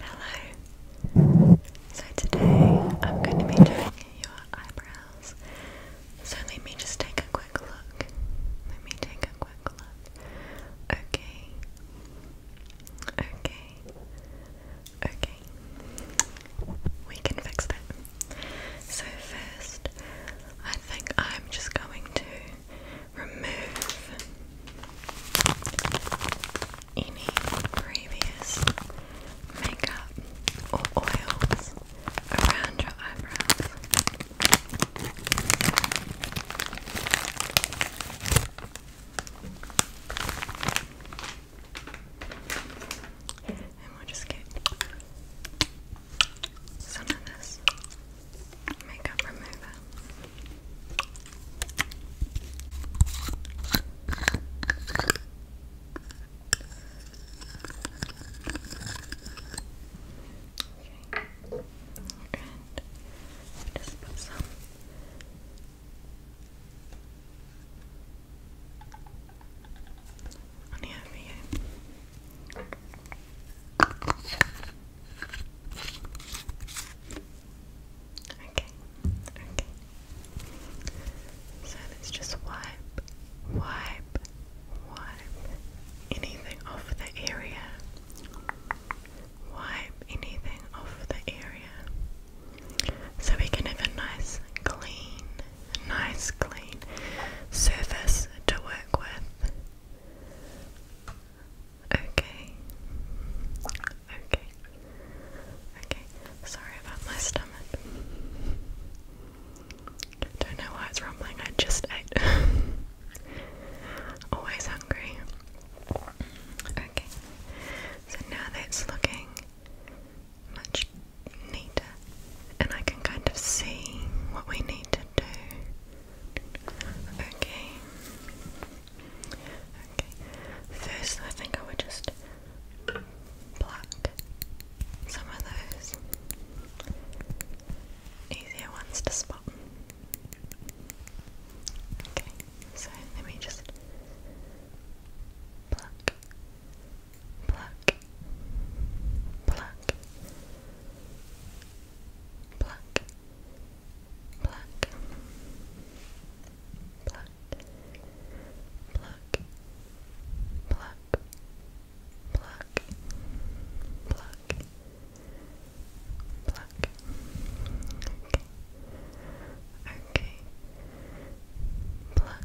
Hello. So today I'm going to be doing your eyebrows. So let me just take a quick look. Let me take a quick look. Okay. Okay. Okay. We can fix that. So first, I think I'm just going to remove any previous makeup or oils around your eyebrows. And we'll just get some of this makeup remover. Okay. And just put some on the over here. Okay. Okay, okay. So let's just wipe, wipe, wipe anything off the area. Wipe anything off the area. So we can have a nice clean, nice clean surface to work with. Okay. Okay. Okay. Sorry about my stomach. Don't know why it's rumbling, I just ate. Always hungry. Okay. So now that's looking much neater, and I can kind of see what we need to do. Okay. Okay, first I think I would just pluck some of those easier ones to spot. Okay, so let me just pluck, pluck, pluck. Pluck, pluck, pluck, pluck, pluck, pluck, pluck, pluck. Okay. Pluck. Pluck.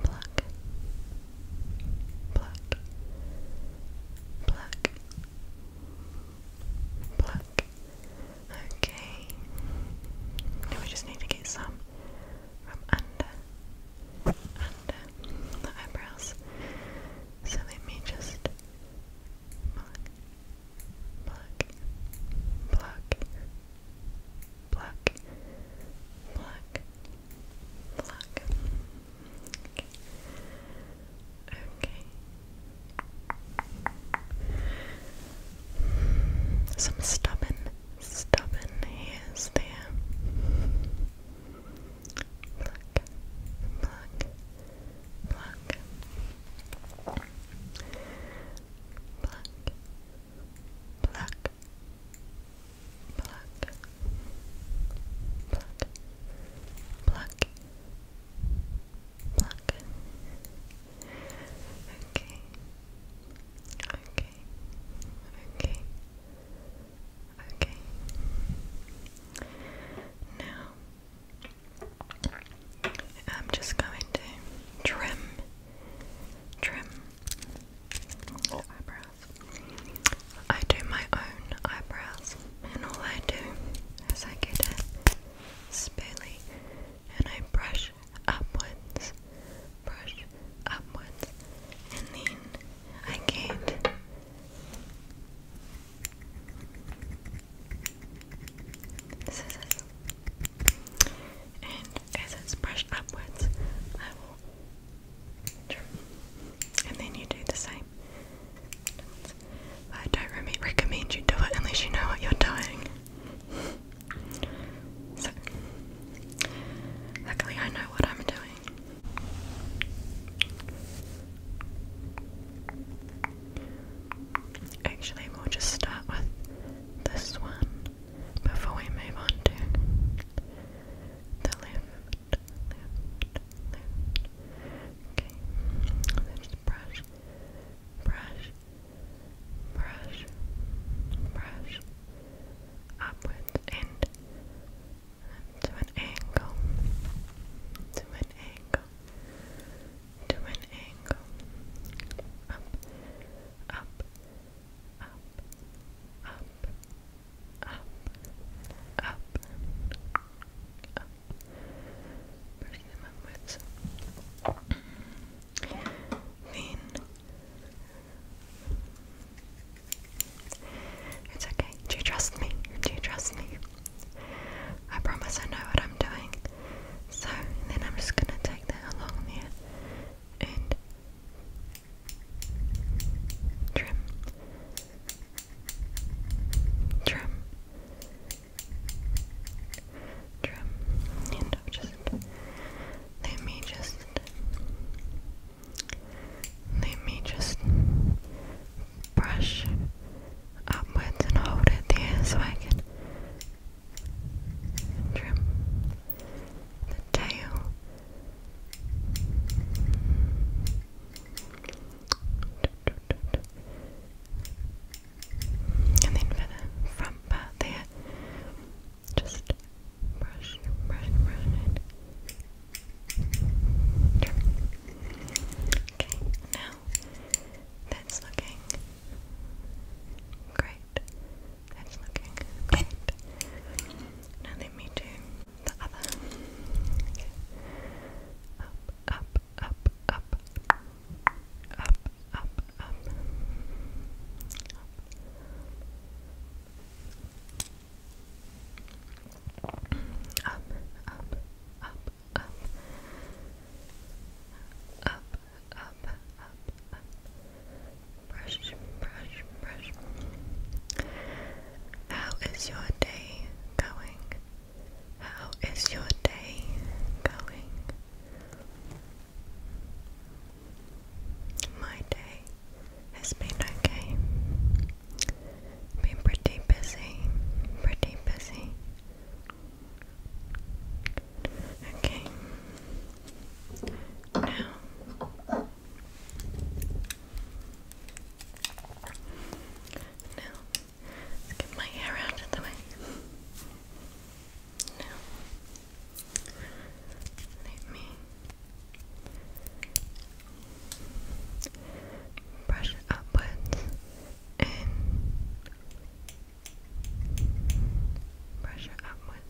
Pluck. Pluck. Pluck. Okay. we just need to get some from under, under the eyebrows. So let me just pluck, pluck, pluck, pluck, pluck, pluck. Okay. Some stubborn, stubborn hairs there. Pluck, pluck, pluck. Pluck, pluck, pluck, pluck, Okay. Okay. Okay. Okay. Now I'm just going to trim, trim eyebrows. I do my own eyebrows and all I do is I get a spoolie and I brush upwards, brush upwards, and then I get scissors. And as it's brushed upwards, I will trim. And then you do the same. I don't recommend you do it unless you know what you're doing. luckily I know what I'm doing. Actually, we'll just start with this one before we move on to the left, Okay. Then brush, brush, brush, brush upwards and to an angle, to an angle, to an angle, up, up, up, up, up, up, brushing them upwards. Then it's okay. Do you trust me? Do you trust me? I promise I know what I'm doing. So then I'm just gonna take that along there and trim trim, trim, you know, just let me just let me just brush upwards and hold it there so I can trim the tail. And then for the front part there, just brush, brush, brush it. Okay, now that's looking great. That's looking great. Now let me do the other. Okay. Up, up, up, up, up, up, up, up. Up, up, up, up. Up, up, up, up. Brush, brush, brush. How is your day going? How is your day going? My day has been okay. Been pretty busy, pretty busy. Okay. Now now Let's get my hair out of the way. Now, let me brush it upwards and brush it upwards.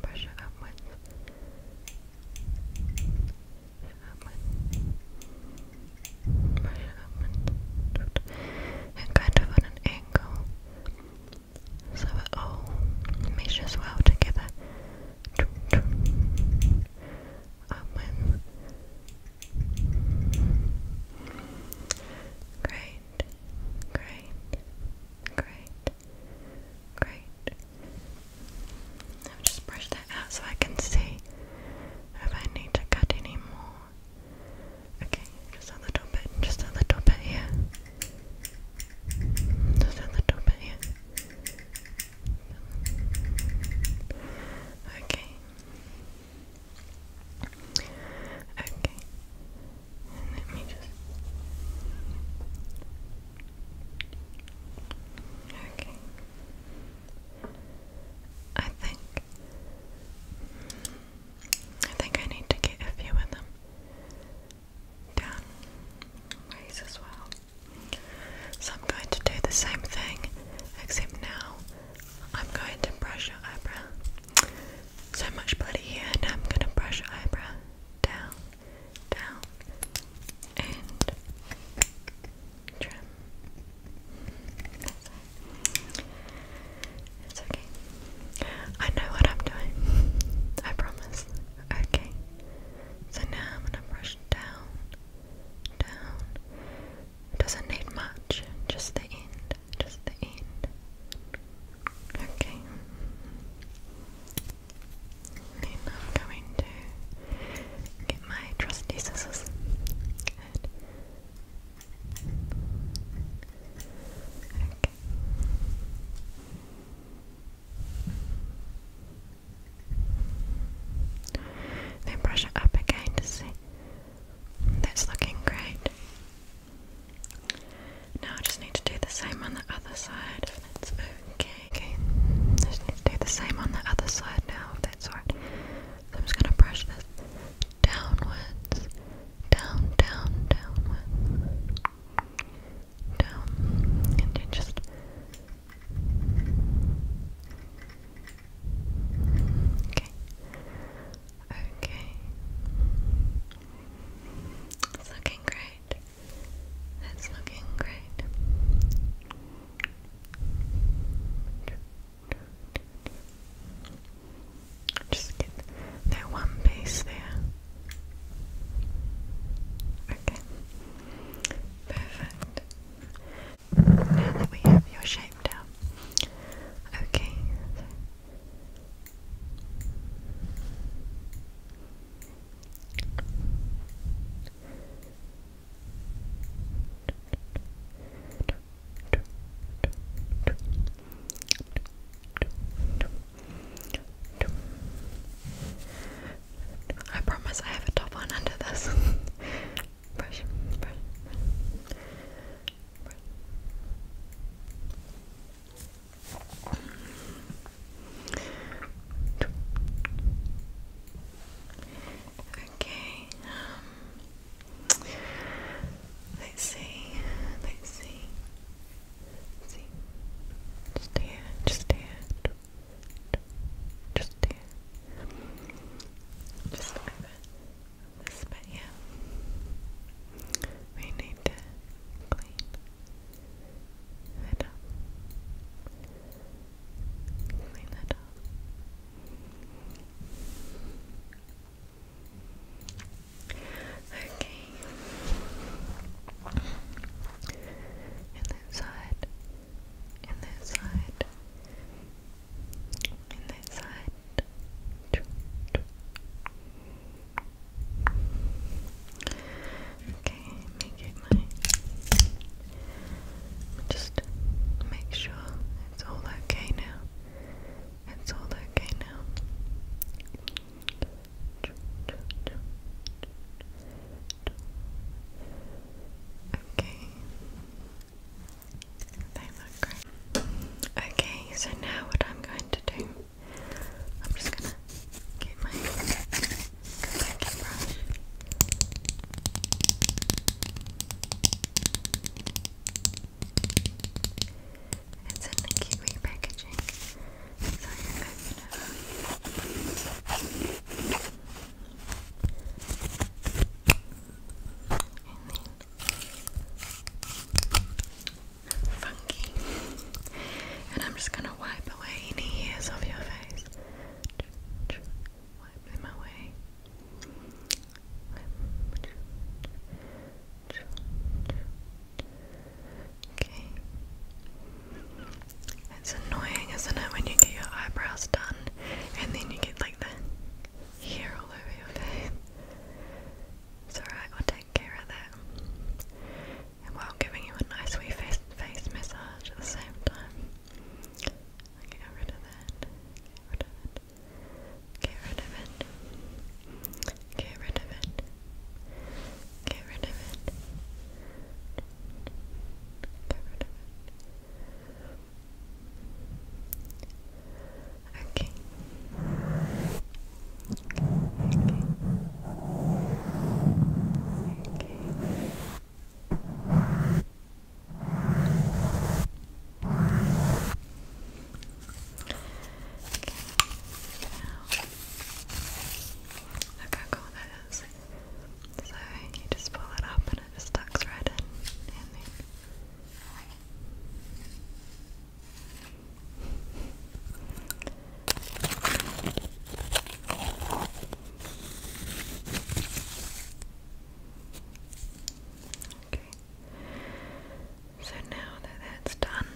brush it upwards and kind of on an angle so it all measures well together Great, great, great, great, I'll just brush that out so I can see if I need to cut any more. Okay, just a little bit, just a little bit here. Just a little bit here. Okay. Okay. let me just Okay. I think I think I need to get a few of them down ways as well. So I'm going to do the same thing, except now I'm going to brush your eyebrow. So much bloody here, and I'm going to brush your eyebrow down down and trim. It's okay. I know what I'm doing. I promise. Okay. So now I'm gonna brush down, down. Doesn't need much, just the end, just the end. Okay. And I'm going to get my trusty scissors. Then brush it up again to see. That's looking great. Now I just need to do the same on the other side if that's okay. Okay, just need to do the same on the other side now, if that's alright. So I'm just going to brush this downwards, down, down, downwards, down, and then just. Okay. Okay. It's looking great. That's looking great. Just get that one piece there. Okay. Perfect. Now that we have your shape down. Okay. I promise I have a top one under this. brush, brush, brush, Okay. Um, let's see. Let's see. see. Just here. Just here. Just here. Just over this bit here. Yeah. We need to clean it up. Clean that up. Okay. And that side. And that side. And that side. Okay, just make sure it's all okay now. It's all okay now. Okay. They look great. Okay, so now what I'm going to do, I'm just gonna get my brush. It's in the kiwi packaging, so you And then funky. And I'm just gonna wipe away any hairs off your face wiping my way. Okay. It's annoying, isn't it, when you get your eyebrows done and then you get like the hair all over your face? It's alright, we'll take care of that while giving you a nice wee face, face massage at the same time. Get rid of it. Get rid of it. Get rid of it. Get rid of it. Get rid of it. Okay. Okay. Okay. Okay. Look how cool So you just pull it up and it just tucks right in. So now that that's done,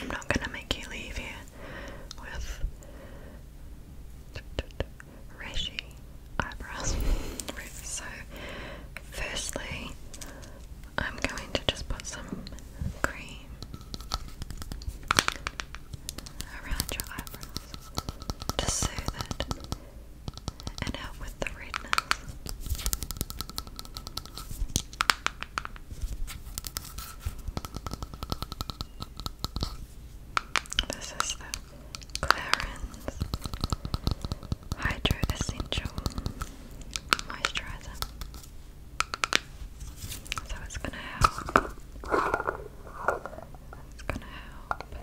I'm not going to make you leave here with rashy eyebrows. so, firstly, I'm going to just put some cream around your eyebrows to soothe it and help with the redness. This is the Clarins Hydro Essential Moisturizer. So it's gonna help. It's gonna help.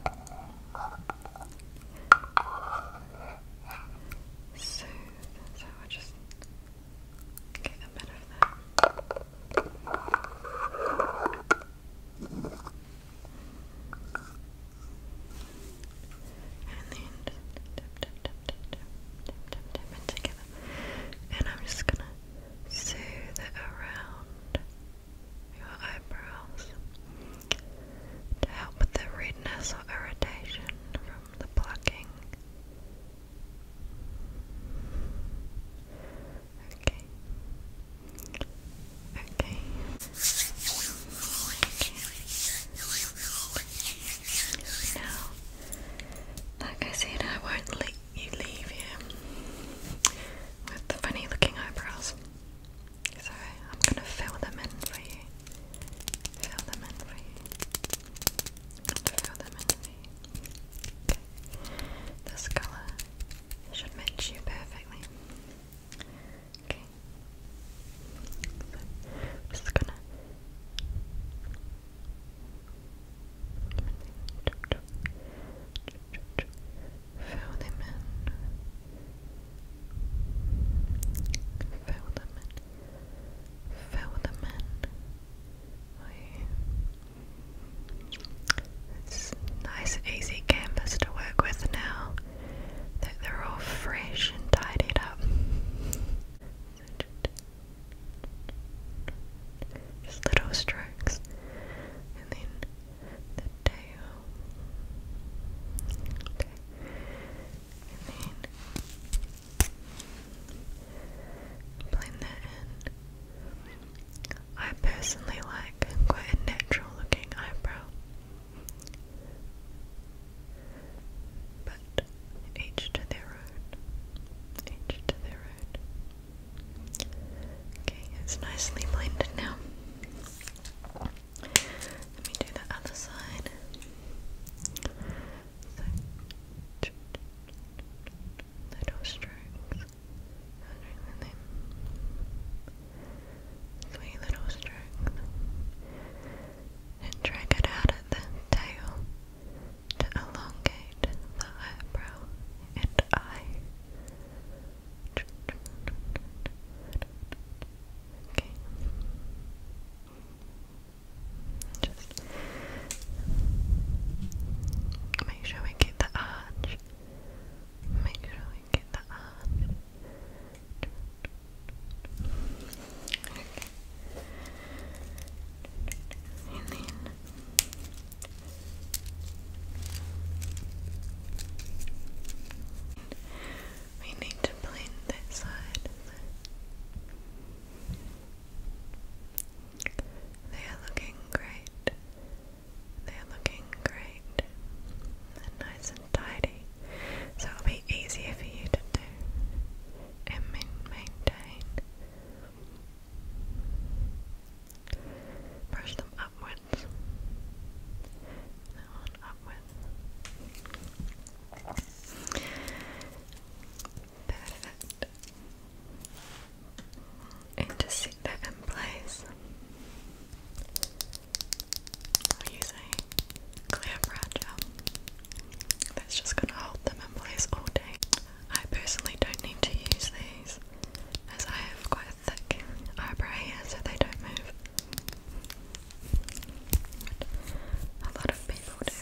Soothe. So I just get a bit of that. And then just tip, tip, tip, tip, tip, tip, tip, together. And I'm just gonna soothe it around your eyebrows to help with the redness or irritation from the plucking. Okay. Okay. Now, like I said, I won't let you leave him with the funny looking eyebrows. So I'm gonna fill them in for you. Fill them in for you. Fill them in for you. Okay. This colour should match you perfectly. Okay. just gonna Fill them in. Fill them in. Fill them in. nice, easy canvas to work with now that they're all fresh and tidied up. Just little strokes. And then the tail. And then blend that in. I personally like quite a natural looking eyebrow. But each to their own. Each to their own. Okay, it's nicely blended now. Let me do the other side. little strokes. Three little strokes. And drag it out at the tail to elongate the eyebrow and eye. Okay. Just make sure we get the arch. Make sure we get the arch. Okay. And then we need to blend that side They are looking great. They are looking great. They're nice and tidy. So it'll be easier for you to do and maintain Brush them upwards. That one upwards. Perfect. And just sit that in place. i clear brush. That's just gonna hold them in place all day. I personally don't need to use these as I have quite thick eyebrow here so they don't move. a lot of people do,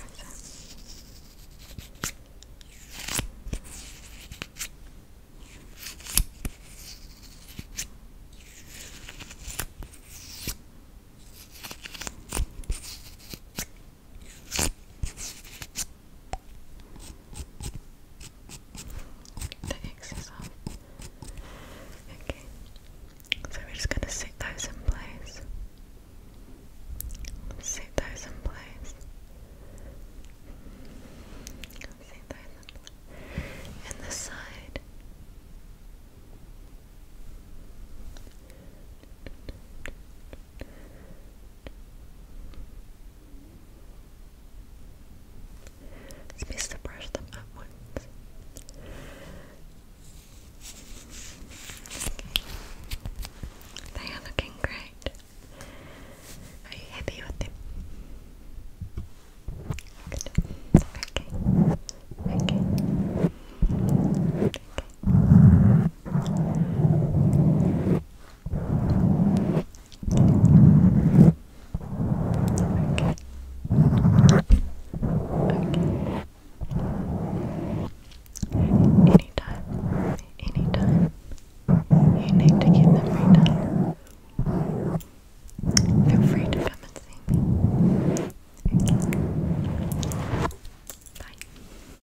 the X off. Okay. So we're just gonna set those in place. Set those in place. Set those in place. And this side. It's best to brush them up once. They are looking great. Are you happy with them? Okay. Okay. Okay. Okay. Okay. Anytime, anytime, you need to give them free time. They're free to come and see me. Okay. Bye.